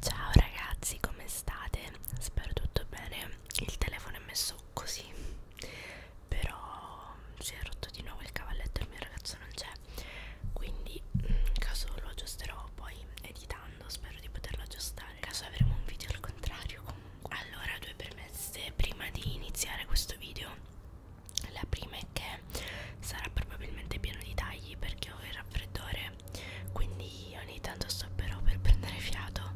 Ciao ragazzi, come state? Spero tutto bene. Il telefono è messo così, però si è rotto di nuovo il cavalletto. Il mio ragazzo non c'è, quindi in caso lo aggiusterò poi editando. Spero di poterlo aggiustare. In caso avremo un video al contrario, comunque. Allora, due premesse prima di iniziare questo video la prima è che sarà probabilmente pieno di tagli perché ho il raffreddore quindi ogni tanto stopperò per prendere fiato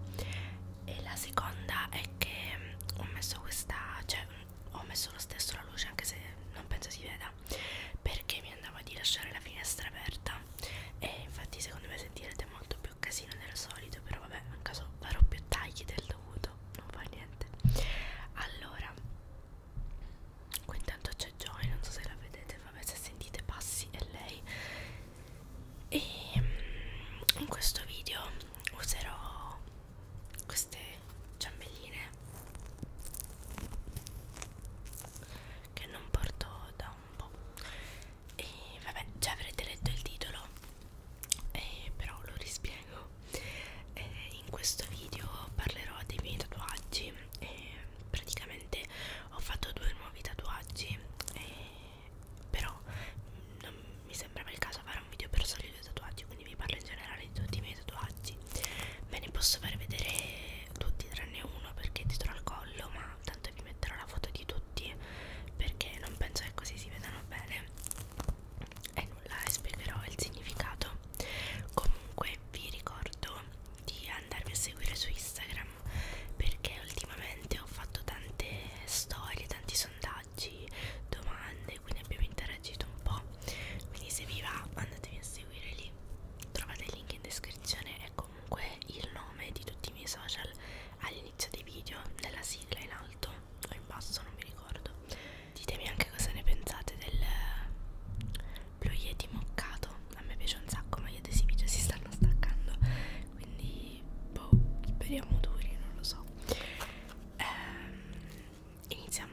e la seconda è che mm, ho messo questa cioè mm, ho messo lo stesso la luce anche se non penso si veda perché mi andava di lasciare la finestra aperta e infatti secondo me sentirete molto più casino del solito però vabbè in caso farò più tagli del dovuto non fa niente allora Qui intanto c'è Joy, non so se la vedete, vabbè se sentite passi è lei. E mm, in questo video userò queste ciambelline che non porto da un po'. E vabbè, già avrete letto il titolo, e però lo rispiego eh, in questo video parlerò dei miei tatuaggi eh, praticamente ho fatto due nuovi tatuaggi eh, però non mi sembrava il caso fare un video per soli due tatuaggi quindi vi parlo in generale di tutti i miei tatuaggi ve ne posso far vedere tutti tranne uno perché è dietro al collo ma tanto vi metterò la foto di tutti perché non penso che così si vedano bene e nulla e spiegherò il significato comunque vi ricordo di andarmi a seguire su Instagram perché ultimamente ho fatto tante storie, tanti sondaggi, domande, quindi abbiamo interagito un po'. Quindi se vi va andatevi a seguire lì. Trovate il link in descrizione e comunque il nome di tutti i miei social all'inizio dei video, nella sigla in alto o in basso, non mi ricordo ditemi anche cosa ne pensate del blu eh, yeti moccato a me piace un sacco ma gli adesivi si stanno staccando quindi boh speriamo duri non lo so ehm, iniziamo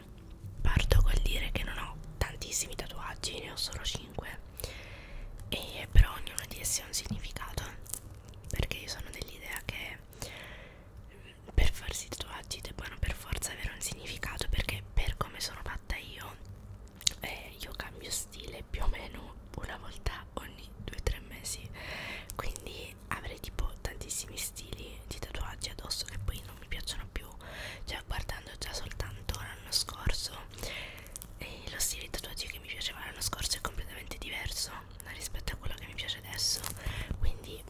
parto col dire che non ho tantissimi tatuaggi ne ho solo 5 e però ognuno di essi ha un significato perché io sono dell'idea che per farsi tatuaggi debbano per forza avere un significato perché per come sono fatta io eh, io cambio stile più o meno una volta ogni 2-3 mesi quindi avrei tipo tantissimi stili di tatuaggi addosso che poi non mi piacciono più cioè guardando già soltanto l'anno scorso eh, lo stile di tatuaggi che mi piaceva l'anno scorso è completamente diverso rispetto a quello che mi piace adesso quindi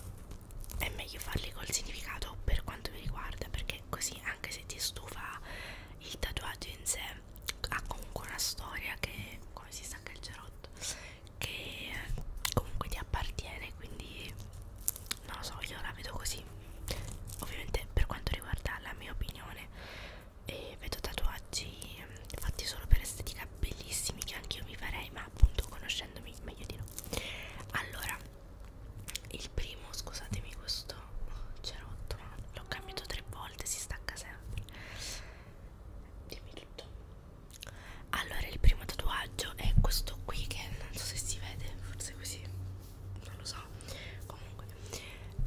è meglio farli col significato per quanto mi riguarda perché così anche se ti stufa il tatuaggio in sé ha comunque una storia che come si stacca il cerotto che comunque ti appartiene quindi non lo so io la vedo così ovviamente per quanto riguarda la mia opinione e eh, vedo tatuaggi fatti solo per estetica bellissimi che anch'io mi farei ma appunto conoscendomi meglio di no allora il primo scusatemi questo oh, cerotto ma l'ho cambiato tre volte si stacca sempre dimmi tutto allora il primo tatuaggio è questo qui che non so se si vede forse così non lo so comunque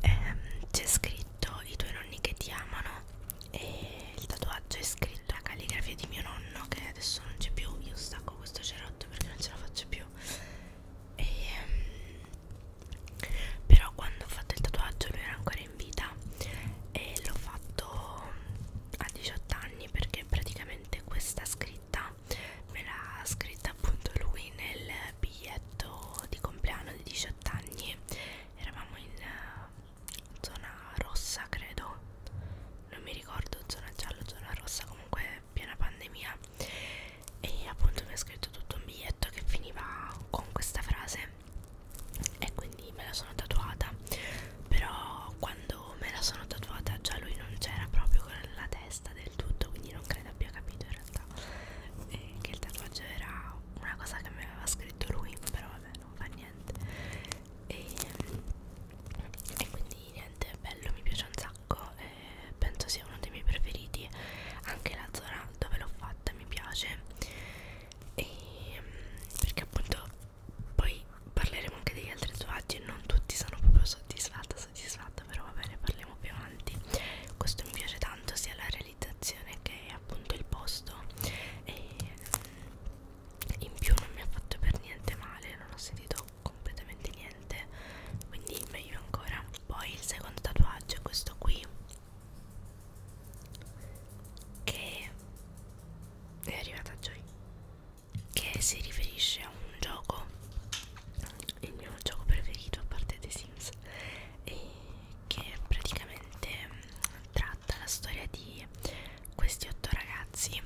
ehm, c'è scritto i tuoi nonni che ti amano e il tatuaggio è scritto la calligrafia di mio nonno che adesso non c'è più io stacco questo cerotto perché non ce la faccio più e, um, però quando ho fatto il tatuaggio lui era ancora in vita e l'ho fatto a 18 anni perché praticamente questa scritta me l'ha scritta appunto lui nel biglietto di compleanno di 18 anni eravamo in zona rossa credo non mi ricordo zona giallo zona rossa comunque piena pandemia e appunto mi ha scritto tutto un biglietto che finiva con questa frase e quindi me la sono tatuata però quando me la sono tatuata già lui non c'era proprio con la testa del tutto quindi non credo abbia capito in realtà eh, che il tatuaggio era una cosa che mi aveva scritto lui però vabbè non fa niente e, e quindi niente, bello, mi piace un sacco e penso sia uno dei miei preferiti anche la zona dove l'ho fatta mi piace e perché appunto poi parleremo anche degli altri tatuaggi non tutti sono proprio soddisfatta soddisfatta però va bene parliamo più avanti questo mi piace tanto sia la realizzazione che appunto il posto e in più non mi ha fatto per niente male non ho sentito completamente niente quindi meglio ancora poi il secondo tatuaggio è questo qui che è arrivata Joy che si riferisce a un gioco il mio gioco preferito a parte The Sims e che praticamente mm, tratta la storia di questi otto ragazzi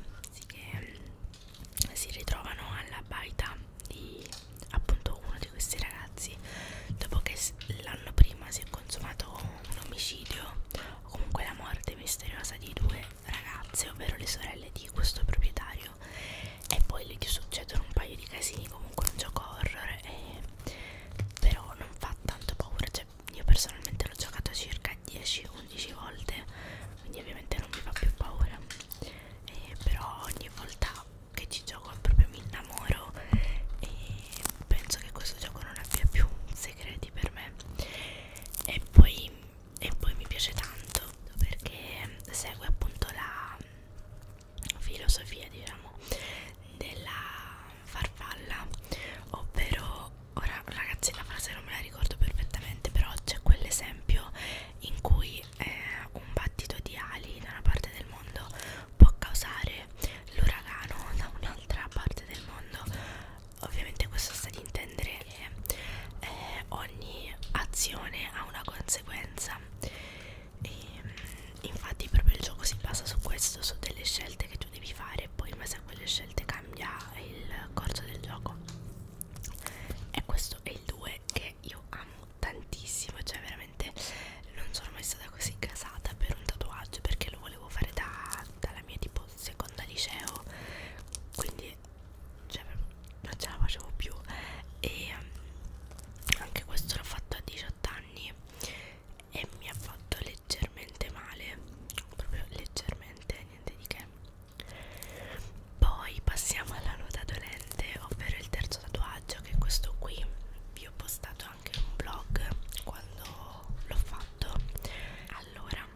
che mm, si ritrovano alla baita di appunto uno di questi ragazzi dopo che l'anno prima si è consumato un omicidio o comunque la morte misteriosa di due ragazze ovvero le sorelle di questo proprietario e poi gli succedono un paio di casini comunque un gioco horror e però non fa tanto paura, cioè cioè io personalmente l'ho giocato circa 10-11 volte quindi ovviamente non mi fa più paura eh, però ogni volta che ci gioco proprio mi innamoro e penso che questo gioco non abbia più segreti per me e poi, e poi mi piace tanto perché segue appunto la filosofia diciamo della farfalla ovvero ora ragazzi la frase non me la ricordo perfettamente però c'è quell'esempio in cui eh, un battito di ali da una parte del mondo può causare l'uragano da un'altra parte del mondo ovviamente questo sta di intendere che eh, ogni azione ha una conseguenza e, mm, infatti proprio il gioco si basa su questo su delle scelte che tu devi fare e poi in base a quelle scelte cambia il corso del gioco e questo è il 2 che io amo tantissimo cioè veramente non sono mai stata così casata per un tatuaggio perché lo volevo fare da, dalla mia tipo seconda liceo quindi cioè, non ce la facevo più e anche questo l'ho fatto a 18 anni e mi ha fatto leggermente male proprio leggermente niente di che poi passiamo alla nota dolente ovvero il terzo tatuaggio che è questo qui vi ho postato anche un vlog quando l'ho fatto allora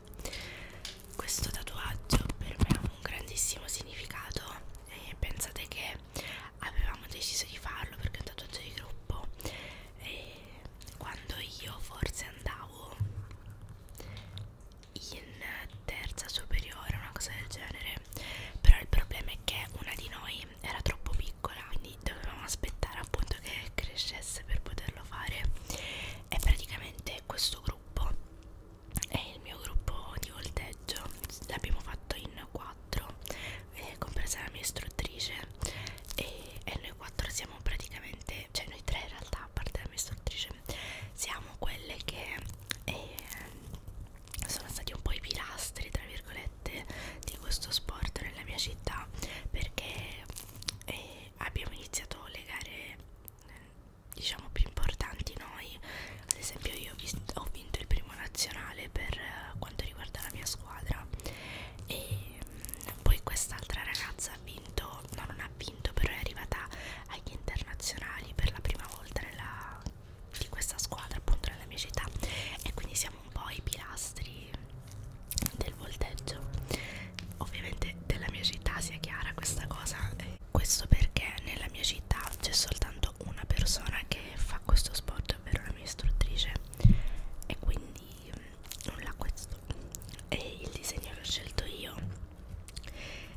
questo tatuaggio per me ha un grandissimo significato e pensate che avevamo deciso di farlo perché è un tatuaggio di gruppo e quando io forse andavo in terza superiore una cosa del genere però il problema è che una di noi era troppo piccola quindi dovevamo aspettare appunto che crescesse per poterlo fare e praticamente questo gruppo è il mio gruppo di volteggio l'abbiamo fatto in 4 quattro eh, compresa la mia istruttrice e, e noi quattro siamo praticamente cioè noi tre in realtà a parte la mia istruttrice siamo quelle che eh, sono stati un po' i pilastri tra virgolette di questo sport nella mia città perché eh, abbiamo iniziato le gare diciamo più importanti noi ad esempio io ho, visto, ho vinto il primo nazionale per eh, quanto riguarda la mia squadra e mm, poi quest'altra ragazza ha vinto, no non ha vinto però è arrivata agli internazionali per la prima volta nella, di questa squadra appunto nella mia città e quindi siamo un po' i pilastri del volteggio ovviamente della mia città sia chiara questa cosa eh, questo perché nella mia città c'è soltanto una persona che fa questo sport detto, ovvero la mia istruttrice e quindi mm, nulla questo e il disegno l'ho scelto io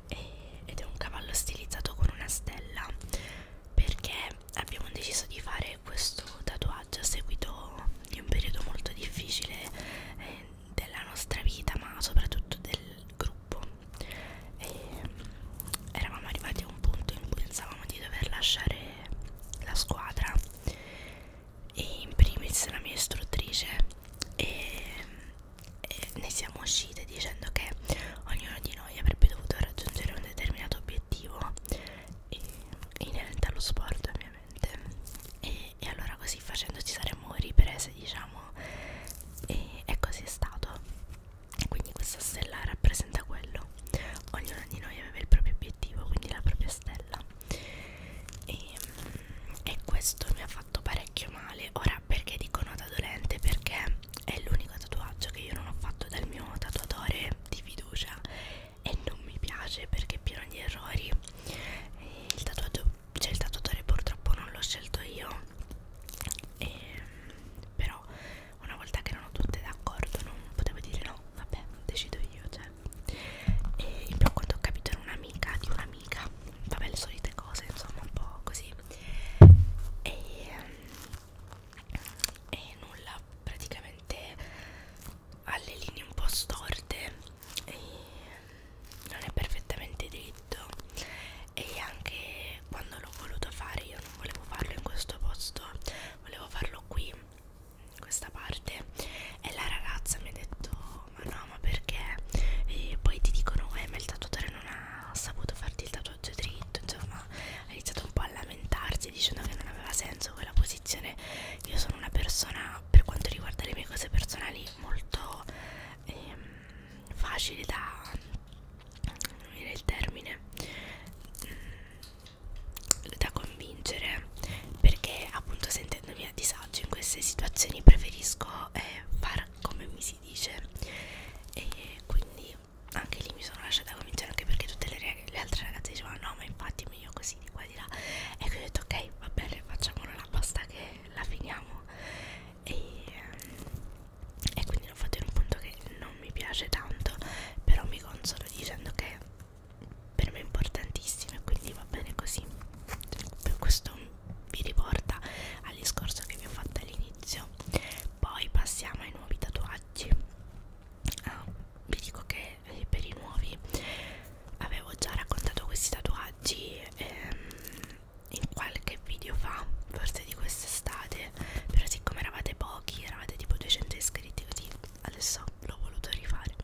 e, ed è un cavallo stilizzato con una stella perché abbiamo deciso di fare questo tatuaggio a seguito di un periodo molto difficile eh, della nostra vita ma soprattutto del gruppo e, eravamo arrivati a un punto in cui pensavamo di dover lasciare la squadra e in primis la mia istruttrice e, e ne siamo uscite dicendo che ognuno di noi avrebbe dovuto raggiungere un determinato obiettivo e, inerente allo sport ovviamente e, e allora così facendo ci saremmo riprese diciamo e, e così è stato quindi questa stella rappresenta quello ognuno di noi aveva il proprio obiettivo quindi la propria stella e, e questo mi ha fatto parecchio male ora perché dico nota dolente perché è l'unico tatuaggio che io non ho fatto dal mio tatuatore di fiducia e non mi piace perché è pieno di errori e il tatuaggio cioè il tatuatore purtroppo non l'ho scelto io e, però una volta che erano tutte d'accordo non potevo dire no vabbè decido io cioè e in più quando ho capito era un'amica di un'amica vabbè le solite cose insomma un po' così e, ehm, e nulla praticamente alle linee un po' storte e non è perfettamente dritto e anche quando l'ho voluto fare io non volevo farlo in questo posto volevo farlo qui in questa parte e la ragazza mi ha detto ma no ma perché e poi ti dicono eh ma il tatuatore non ha saputo farti il tatuaggio dritto insomma ha iniziato un po' a lamentarsi dicendo che non aveva senso quella posizione io sono una persona per quanto riguarda le mie cose personali molto ehm, facile da non viene il termine mm, da convincere perché appunto sentendomi a disagio in queste situazioni preferisco eh, far come mi si dice e quindi anche lì mi sono lasciata convincere anche perché tutte le, le altre ragazze dicevano no ma infatti è meglio così di qua e di là e quindi ho detto ok va bene facciamola basta che la finiamo e, ehm, e quindi l'ho fatto in un punto che non mi piace tanto però mi consolo dicendo che per me è importantissimo e quindi va bene così questo vi riporta al discorso che vi ho fatto all'inizio poi passiamo ai nuovi tatuaggi ah, vi dico che eh, per i nuovi avevo già raccontato questi tatuaggi ehm, in qualche video fa, forse di quest'estate, però siccome eravate pochi, eravate tipo 200 iscritti, così adesso l'ho voluto rifare.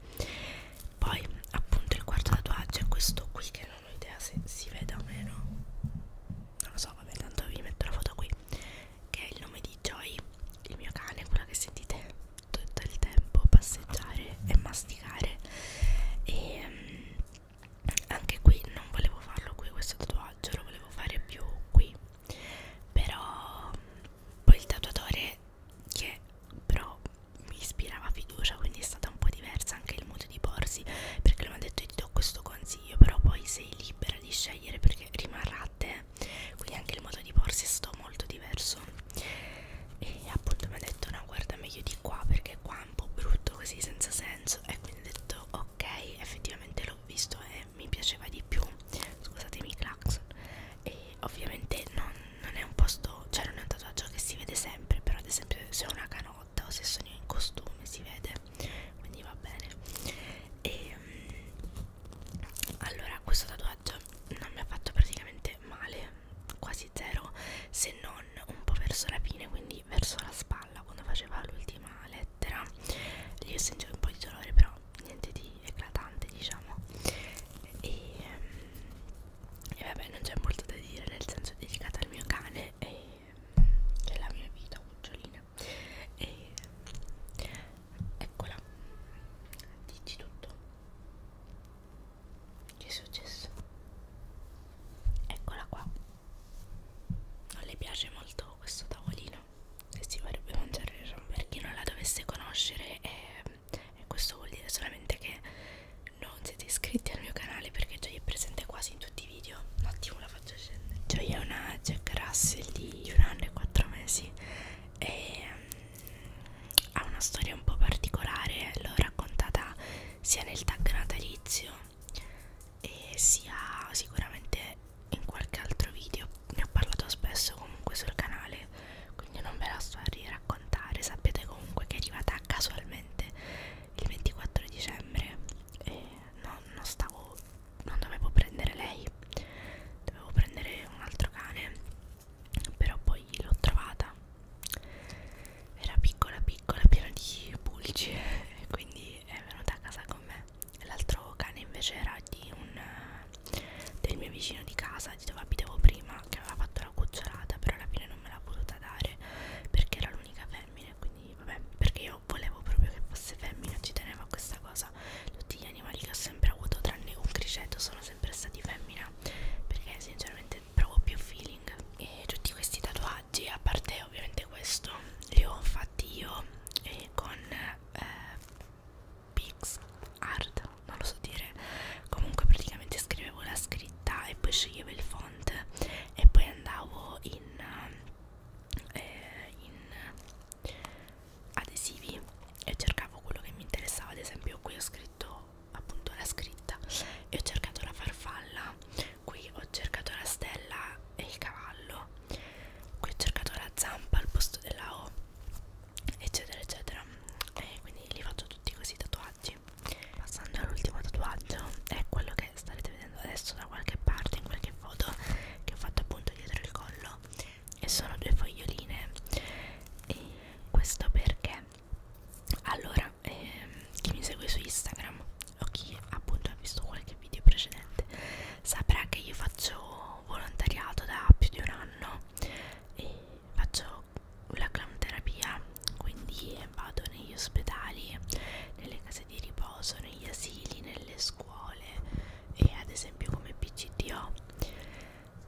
Poi appunto il quarto tatuaggio è questo qui che non ho idea se si veda o meno, non lo so, vabbè tanto vi metto la foto qui, che è il nome di Joy, il mio cane, quello che sentite tutto il tempo passeggiare e masticare e... Um, anche qui non volevo farlo qui questo tatuaggio lo volevo fare più qui però poi il tatuatore che però mi ispirava fiducia quindi è stata un po' diversa anche il modo di porsi perché lui mi ha detto io ti do questo consiglio però poi sei libera di scegliere perché rimarrà a te quindi anche il modo di porsi è stato molto diverso e appunto mi ha detto no guarda meglio di qua perché qua è un po' brutto così senza senso e quindi detto ok effettivamente l'ho visto e mi piaceva di più scusatemi i clacson e ovviamente non, non è un posto cioè non è un tatuaggio che si vede sempre però ad esempio se ho una canotta o se sono in costume si vede quindi va bene e ehm, allora questo tatuaggio non mi ha fatto praticamente male quasi zero se non un po' verso la fine quindi lì verso la spalla quando faceva l'ultima lettera lì ho sentito un po' di dolore però niente di eclatante diciamo e, ehm, e vabbè non c'è molto da dire nel senso è dedicata al mio cane e è la mia vita cucciolina e eccola dici tutto che è successo eccola qua non le piace molto questo tavolino e si vorrebbe mangiare il rom per chi non la dovesse conoscere e, e questo vuol dire solamente che non siete iscritti al mio canale perché Gioia è presente quasi in tutti i video un attimo la faccio scendere Gioia è una Jack Russell di un anno e quattro mesi e um, ha una storia un po' particolare l'ho raccontata sia nel tag natalizio e sia sicuramente in qualche altro video ne ho parlato spesso comunque sul canale quindi non ve la sto a riraccontare sapete comunque che è arrivata casualmente il 24 dicembre e non, non stavo non dovevo prendere lei dovevo prendere un altro cane però poi l'ho trovata era piccola piccola piena di pulci e quindi è venuta a casa con me l'altro cane invece era di un del mio vicino di casa di dove abitavo prima che aveva fatto la cucciolata però alla fine non me l'ha voluta dare perché era l'unica femmina quindi vabbè perché io volevo proprio che fosse femmina ci tenevo a questa cosa tutti gli animali che ho sempre avuto tranne un criceto sono sempre stati femmina perché sinceramente provo più feeling e tutti questi tatuaggi tatuaggi a parte ovviamente questo li ho fatti io eh, con eh, Pix Art non lo so dire comunque praticamente scrivevo la scritta e poi sceglievo il font e poi andavo in, eh, in adesivi e cercavo quello che mi interessava ad esempio qui ho scritto appunto la scritta fretta e ho cercato la farfalla qui ho cercato la stella e il cavallo qui ho cercato la zampa al posto della O eccetera eccetera e quindi li faccio tutti così i tatuaggi passando all'ultimo tatuaggio è quello che starete vedendo adesso da qualche parte in qualche foto che ho fatto appunto dietro il collo e sono due foglioline e questo perché allora allora ehm, chi mi segue su Instagram o chi appunto ha visto qualche video precedente saprà che io faccio volontariato da più di un anno e faccio la clamterapia quindi vado negli ospedali nelle case di riposo negli asili nelle scuole e ad esempio come PCTO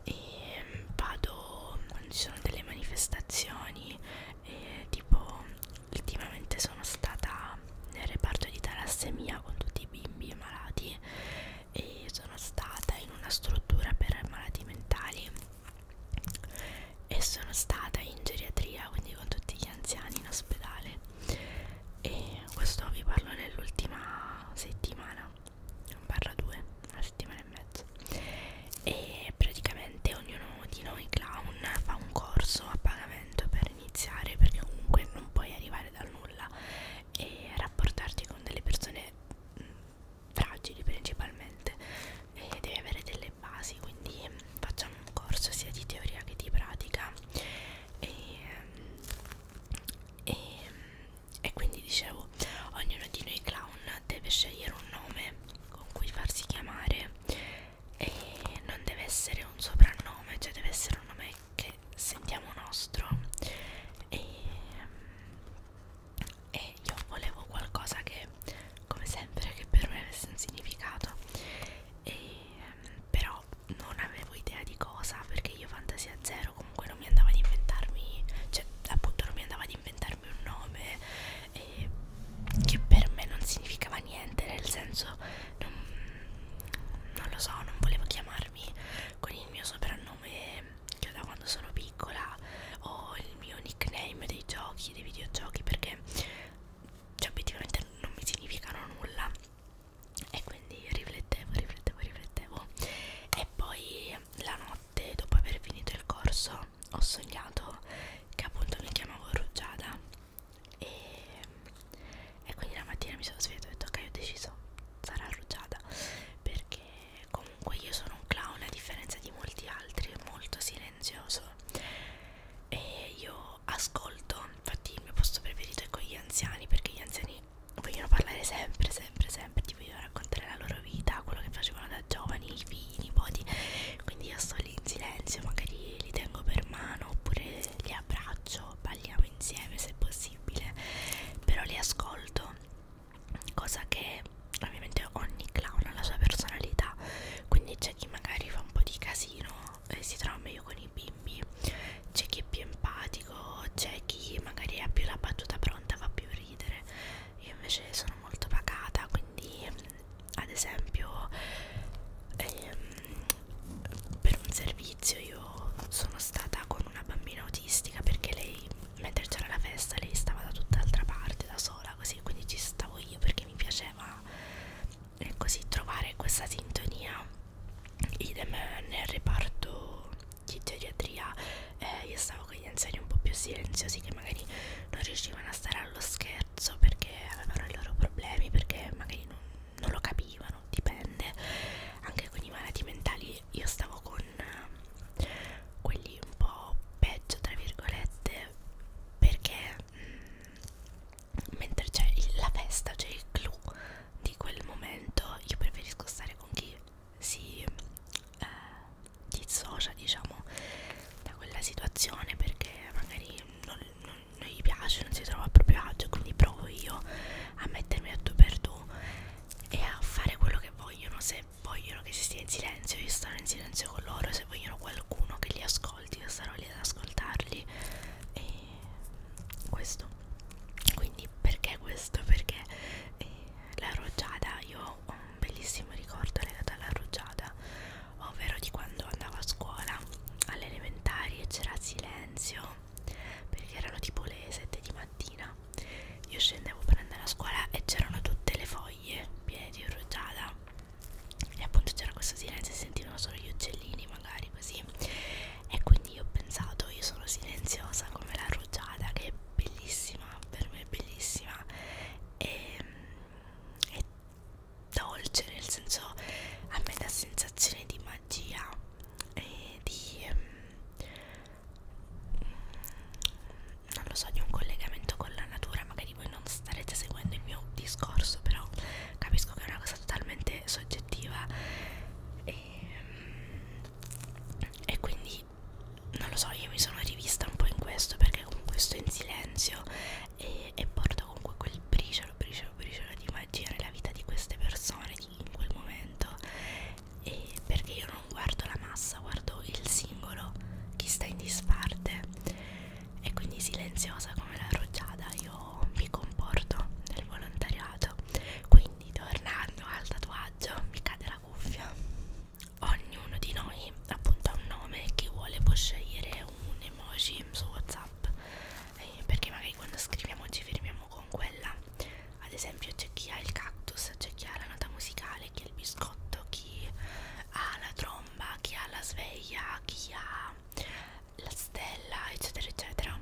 e ehm, vado quando ci sono delle manifestazioni e tipo ultimamente sono stata nel reparto di talassemia con tutti i bimbi malati e sono stata in una struttura per malati mentali e sono stata in geriatria quindi con tutti gli anziani in ospedale e questo vi parlo nell'ultima settimana non parlo due una settimana e mezzo e praticamente ognuno di noi clown fa un corso a pagamento per iniziare perché comunque non puoi arrivare dal nulla e rapportarti con delle persone mh, mm, fragili principalmente e devi avere delle basi quindi mm, facciamo un corso sia di teoria che di pratica e, mm, e, e quindi dicevo ognuno di noi clown deve scegliere un nome con cui farsi chiamare e non deve essere un soprannome, cioè deve essere un nome che sentiamo nostro e, e io volevo qualcosa che come sempre che per me avesse un significato e, però non avevo idea di cosa perché io fantasia zero comunque non mi andava ad inventarmi cioè appunto non mi andava ad inventarmi darmi un nome eh, che per me non significava niente, nel senso non, non lo so, non volevo chiamarmi con il mio soprannome che da quando sono piccola o il mio nickname dei giochi, dei videogiochi perché cioè, obiettivamente non mi significano nulla e quindi riflettevo, riflettevo, riflettevo e poi la notte notte dopo aver finito il corso ho sognato che appunto mi chiamavo Rugiada e, e quindi la mattina mi sono svegliata e ho detto ok ho deciso sarà Rugiada perché comunque io sono un clown a differenza di molti altri molto silenzioso e io ascolto infatti il mio posto preferito è con gli anziani perché gli anziani vogliono parlare sempre sempre sempre ti vogliono raccontare la loro vita quello che facevano da giovani, i figli, i nipoti quindi io sto lì in silenzio magari li tengo per mano oppure li abbraccio balliamo insieme se possibile però li ascolto cosa che ovviamente ogni clown ha la sua personalità quindi c'è chi magari fa un po' di casino e si trova meglio con i bimbi c'è chi è più empatico c'è chi magari ha più la battuta pronta fa più ridere io invece sono molto pacata quindi ad esempio ehm, per un servizio io sono stata con una bambina autistica perché lei mentre c'era la festa lei stava da tutt'altra parte da sola così quindi ci stavo io perché mi piaceva eh, così trovare questa sintonia idem nel reparto di geriatria eh, io stavo con gli anziani un po' più silenziosi che magari non riuscivano a stare allo scherzo perché avevano i loro problemi, perché magari non, non lo capivano, dipende. Anche con i malati mentali io stavo con eh, quelli un po' peggio, tra virgolette, perché mh, mm, mentre c'è la festa, c'è il clou di quel momento, io preferisco stare con chi si eh, dissocia diciamo da quella situazione perché magari non, non, non gli piace, non si trova a proprio agio quindi provo io a mettermi a tu per tu e a fare quello che vogliono se vogliono che si stia in silenzio io starò in silenzio con loro se vogliono qualcuno che li ascolti io starò lì ad ascoltarli e questo quindi perché questo? Perché eh, la rugiada io ho un bellissimo ricordo legato alla rugiada ovvero di quando andavo a scuola alle elementari e c'era silenzio perché erano tipo le 7 di mattina io scendevo per andare a scuola e c'erano tutte le foglie piene di rugiada e appunto c'era questo silenzio e sentivano solo gli uccellini magari così e quindi io ho pensato io sono silenziosa come la rugiada che bellissima, per me bellissima e, e dolce nel senso a me dà sensazione di magia e di um, non lo so di un collegamento con la natura magari voi non starete seguendo il mio discorso però capisco che è una cosa totalmente soggettiva e, e quindi quindi non lo so io mi sono rivista un po' in questo perché comunque sto in silenzio e, e porto comunque quel briciolo briciolo briciolo di magia nella vita di queste persone in quel momento e perché io non guardo la massa guardo il singolo chi sta in disparte e quindi silenziosa come la rugiada io mi comporto nel volontariato quindi tornando al tatuaggio mi cade la la cuffia ognuno di noi appunto ha un nome che vuole può scegliere un emoji su whatsapp eh, perché magari quando scriviamo ci fermiamo con quella ad esempio c'è chi ha il cactus c'è chi ha la nota musicale chi ha il biscotto chi ha la tromba chi ha la sveglia chi ha la stella eccetera eccetera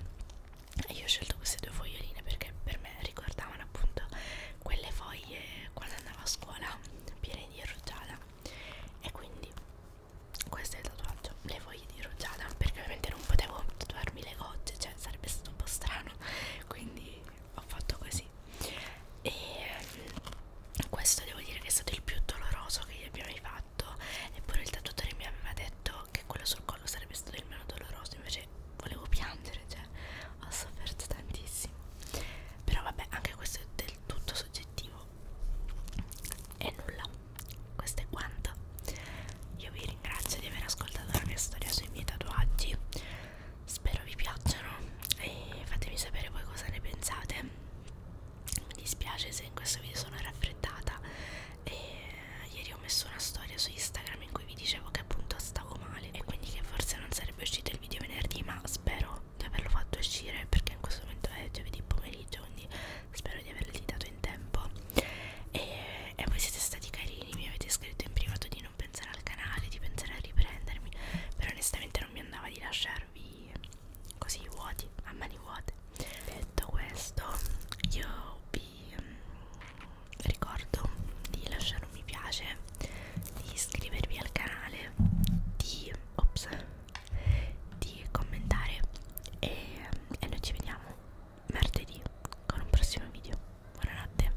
e io ho scelto queste due foglioline perché per me ricordavano appunto quelle foglie quando andavo a scuola piene di rugiada e quindi questo è il tatuaggio le foglie di rugiada perché ovviamente non potevo tatuarmi le gocce cioè sarebbe stato un po' strano quindi ho fatto così e mm, questo devo dire che è stato il più doloroso che io abbia mai fatto eppure il tatuatore mi aveva detto che quello sul collo sarebbe stato il meno doloroso invece volevo piangere, cioè ho sofferto tantissimo. Però vabbè, anche questo è del tutto soggettivo. E nulla, questo è quanto. Io vi ringrazio di aver ascoltato la mia storia sui miei tatuaggi. Spero vi piacciono e fatemi sapere voi cosa ne pensate. Mi dispiace se in questo video sono raffreddata e ieri ho messo una storia su Instagram in cui vi dicevo che appunto stavo male e quindi che forse non sarebbe uscito il video venerdì ma spero di averlo fatto uscire perché in questo momento è giovedì pomeriggio quindi spero di averlo editato in tempo e, e voi siete stati carini mi avete scritto in privato di non pensare al canale di pensare a riprendermi però onestamente non mi andava di lasciarvi così vuoti a mani vuote detto questo io vi vi ricordo di lasciare un mi piace, di iscrivervi al canale, di, ops, di commentare e, e noi ci vediamo mercoledì con un prossimo video. Buonanotte.